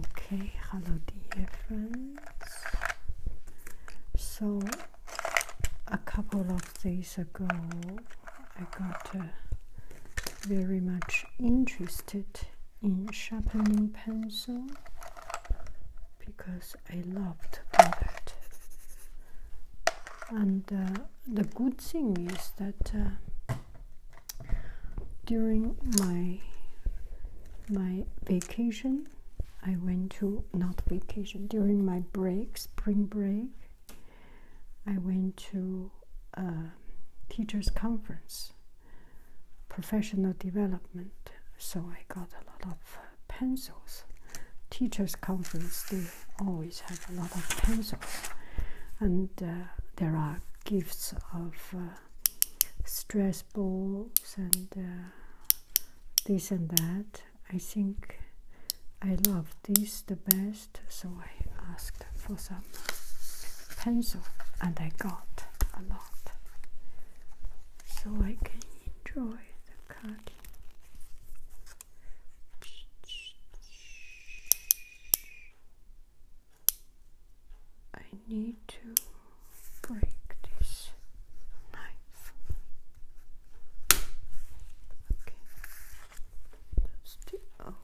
Okay, hello dear friends. So, a couple of days ago, I got uh, very much interested in sharpening pencil because I loved that. And uh, the good thing is that uh, during my my vacation, I went to not vacation during my break, spring break. I went to teachers' conference, professional development. So I got a lot of pencils. Teachers' conference, they always have a lot of pencils, and uh, there are gifts of uh, stress balls and uh, this and that. I think I love these the best, so I asked for some pencil and I got a lot. So I can enjoy the cutting. I need to break this knife. Okay, that's the old.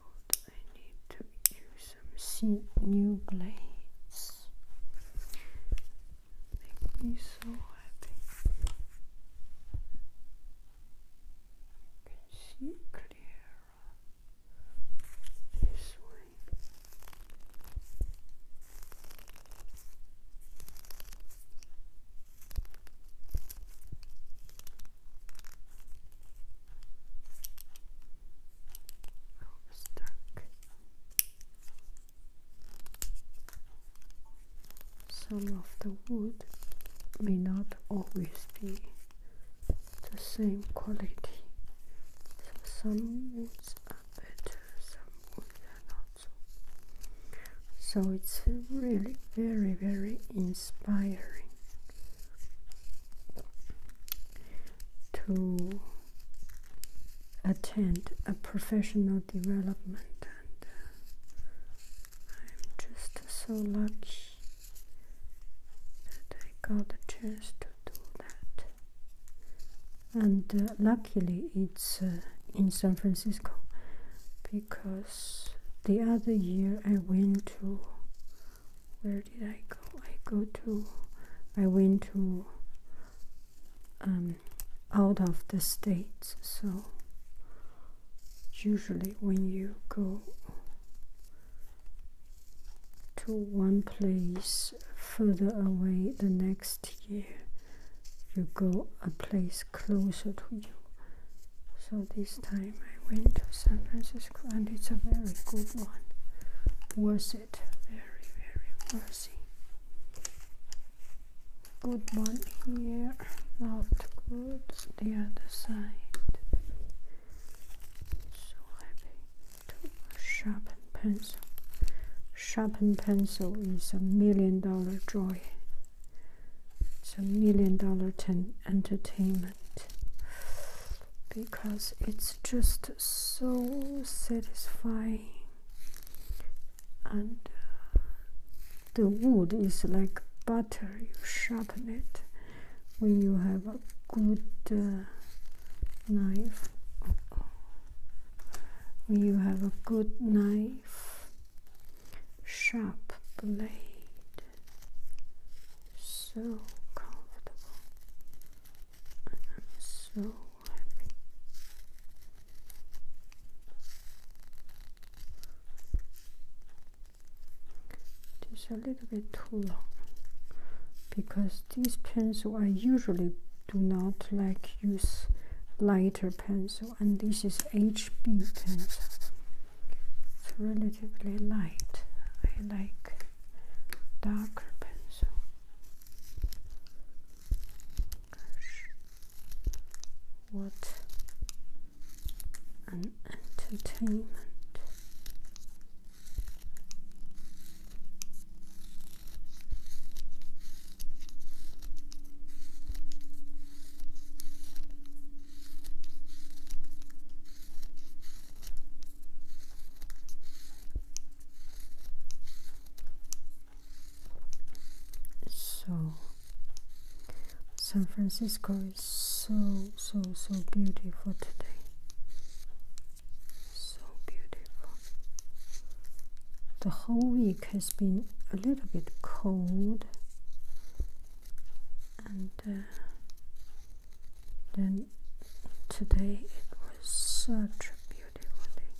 I need to use some new blades. Make me so happy. You can see clear this Some of the wood may not always be the same quality. So some woods are better, some woods are not so. So it's really very very inspiring to attend a professional development and uh, I'm just so lucky that I got a chance to do that. And uh, luckily, it's uh, in San Francisco because the other year I went to where did I go? I go to I went to um, out of the states. So usually when you go to one place further away the next year you go a place closer to you so this time i went to san francisco and it's a very good one Was it very very worthy good one here not good the other side so happy Sharpen pencil. Sharpen pencil is a million dollar joy. It's a million dollar entertainment because it's just so satisfying and uh, the wood is like butter you sharpen it when you have a good uh, knife when you have a good knife sharp blade so comfortable I'm so happy just a little bit too long because these pencil I usually do not like use lighter pencil and this is HB pencil it's relatively light I like darker pencil what an entertainment so, San Francisco so, so, so beautiful today. So beautiful. The whole week has been a little bit cold, and uh, then today it was such a beautiful day.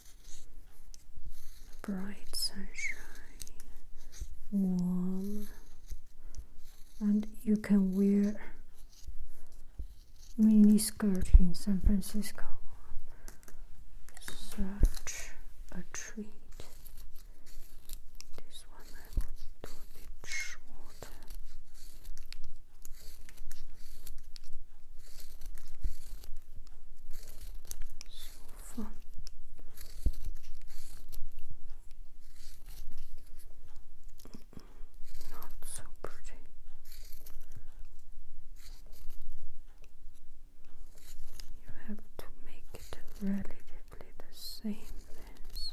Bright sunshine, warm, and you can wear Mini skirt in San Francisco. Such a treat. This one I will do bit shorter. So fun. Not so pretty. You have to make it relatively the same as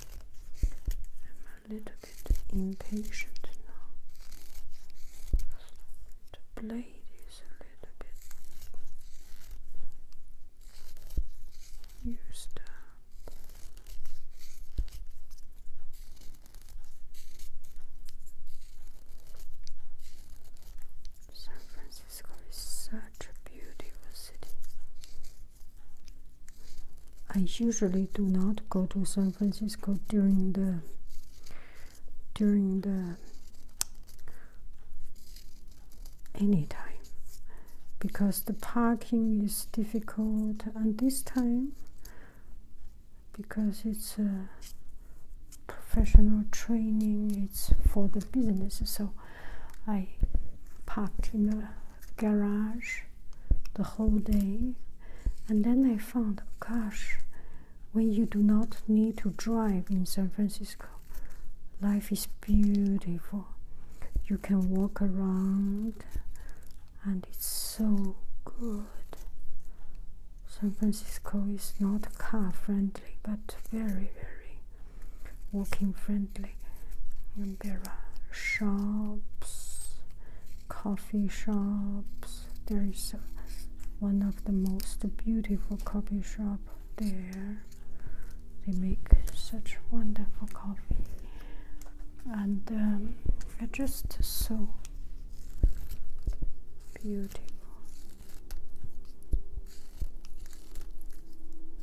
I'm a little bit impatient now. The blade is a little bit used up. San Francisco is such a beautiful city. I usually do not go to San Francisco during the during the any time because the parking is difficult and this time because it's a professional training it's for the business so I parked in the garage the whole day, and then I found, gosh, when you do not need to drive in San Francisco, life is beautiful. You can walk around, and it's so good. San Francisco is not car friendly, but very, very walking friendly. And there are shops, coffee shops. There is one of the most beautiful coffee shop there. They make such wonderful coffee. And um, it's just so beautiful. I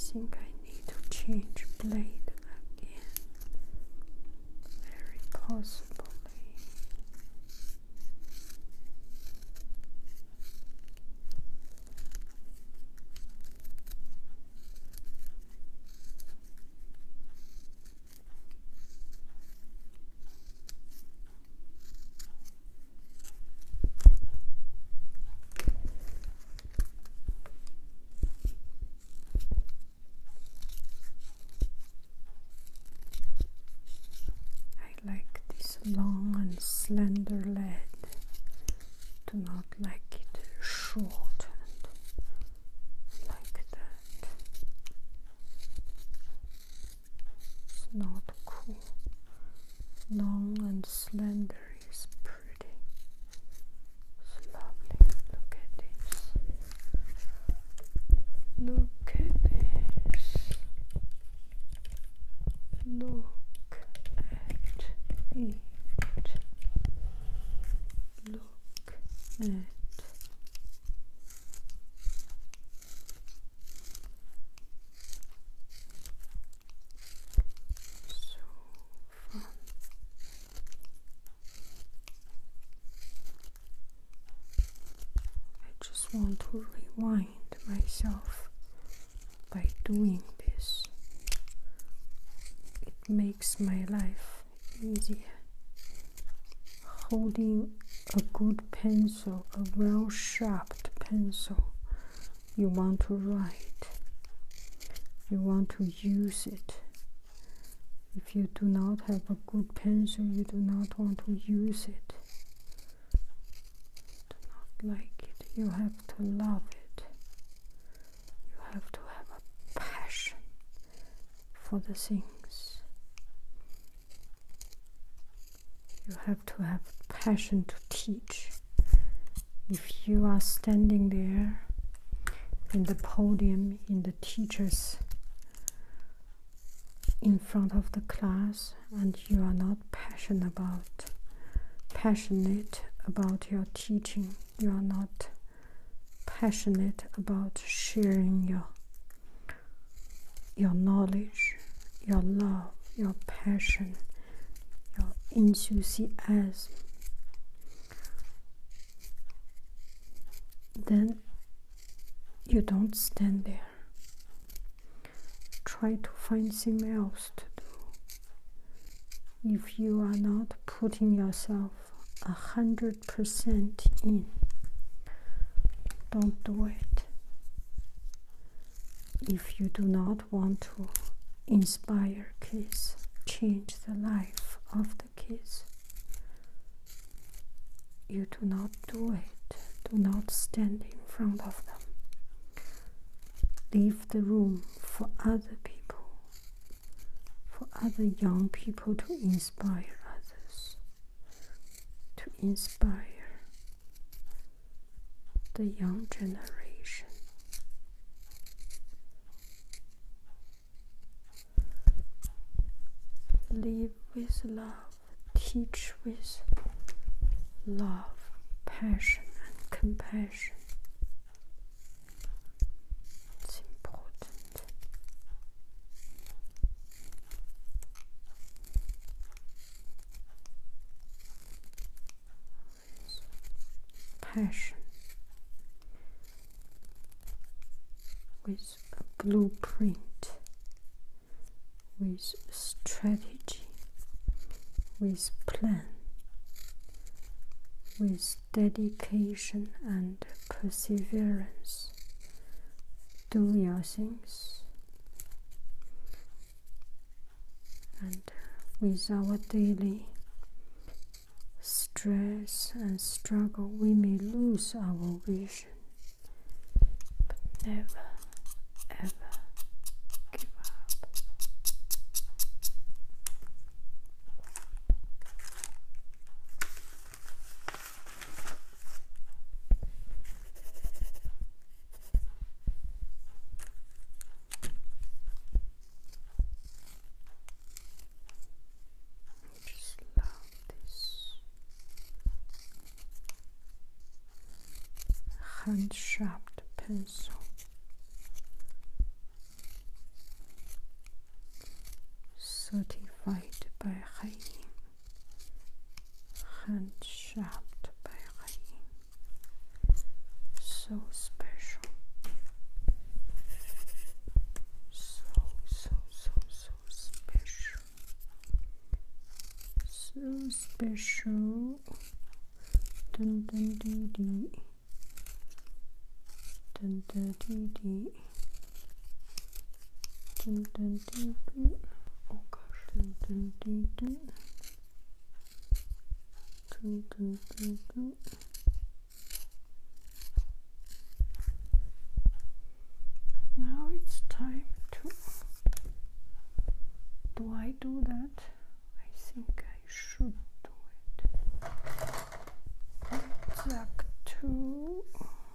think I need to change blade again. Very possibly. I like this long and slender lead. Do not like it short and like that. It's not cool. Long and slender is pretty. It's lovely. Look at this. Look at this. Look at it. Look at so fun. I just want to rewind myself by doing this. It makes my life easier. Holding a good pen pencil, a well sharped pencil, you want to write, you want to use it. If you do not have a good pencil, you do not want to use it. Do not like it. You have to love it. You have to have a passion for the things. You have to have passion to teach. If you are standing there in the podium, in the teacher's, in front of the class, and you are not passionate about, passionate about your teaching, you are not passionate about sharing your your knowledge, your love, your passion, your enthusiasm. Then you don't stand there. Try to find something else to do. If you are not putting yourself a hundred percent in, don't do it if you do not want to inspire kids, change the life of the kids, you do not do it. Do not stand in front of them. Leave the room for other people, for other young people to inspire others to inspire the young generation. Live with love, teach with love, passion, and compassion. It's important passion with a blueprint with strategy with plan with dedication and perseverance do your things and with our daily stress and struggle we may lose our vision but never ever give up I love this hand sharped pencil. Certified by Haim and shaped by rain. So special. So, so, so, so special. So special. Dun dun dee dee. Dun, dun, dun, dun. Oh gosh. Dun, dun, dun, dun. Dun, dun, dun, Now it's time to. Do I do that? I think I should do it. Exact two.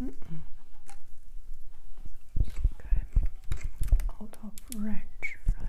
Mm mm-hmm. -mm. Okay. Out of range, right?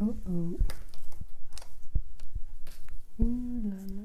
Oh oh. Oh la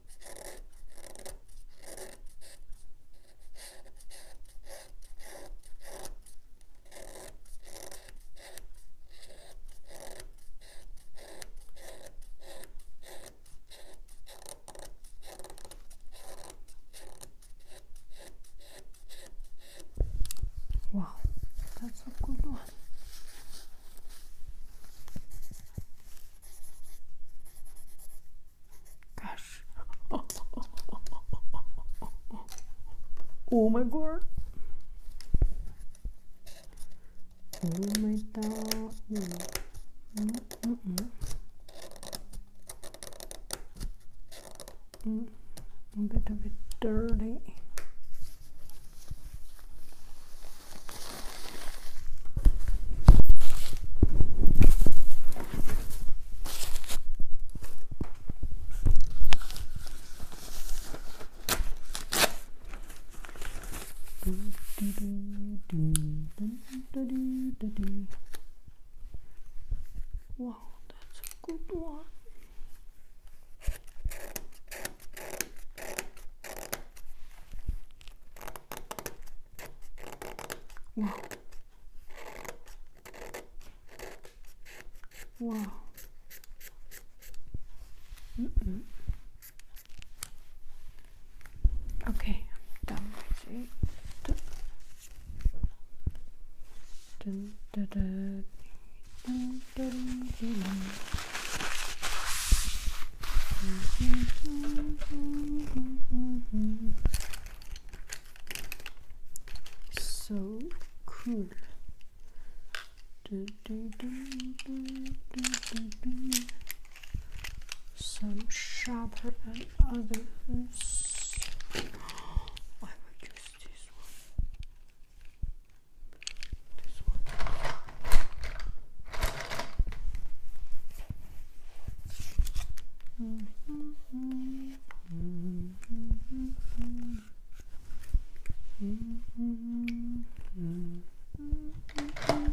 Wow, that's a good one. Gosh. Oh, oh, oh, oh, oh, oh. oh my god. Oh my god. Mm -mm. Mm, a bit of it dirty. Wow, that's a good one. Wow. Okay, so cool. Some sharper and others. I will use this one this one. Mm -hmm, mm -hmm, mm -hmm. Mm -hmm, mm -hmm, mm -hmm.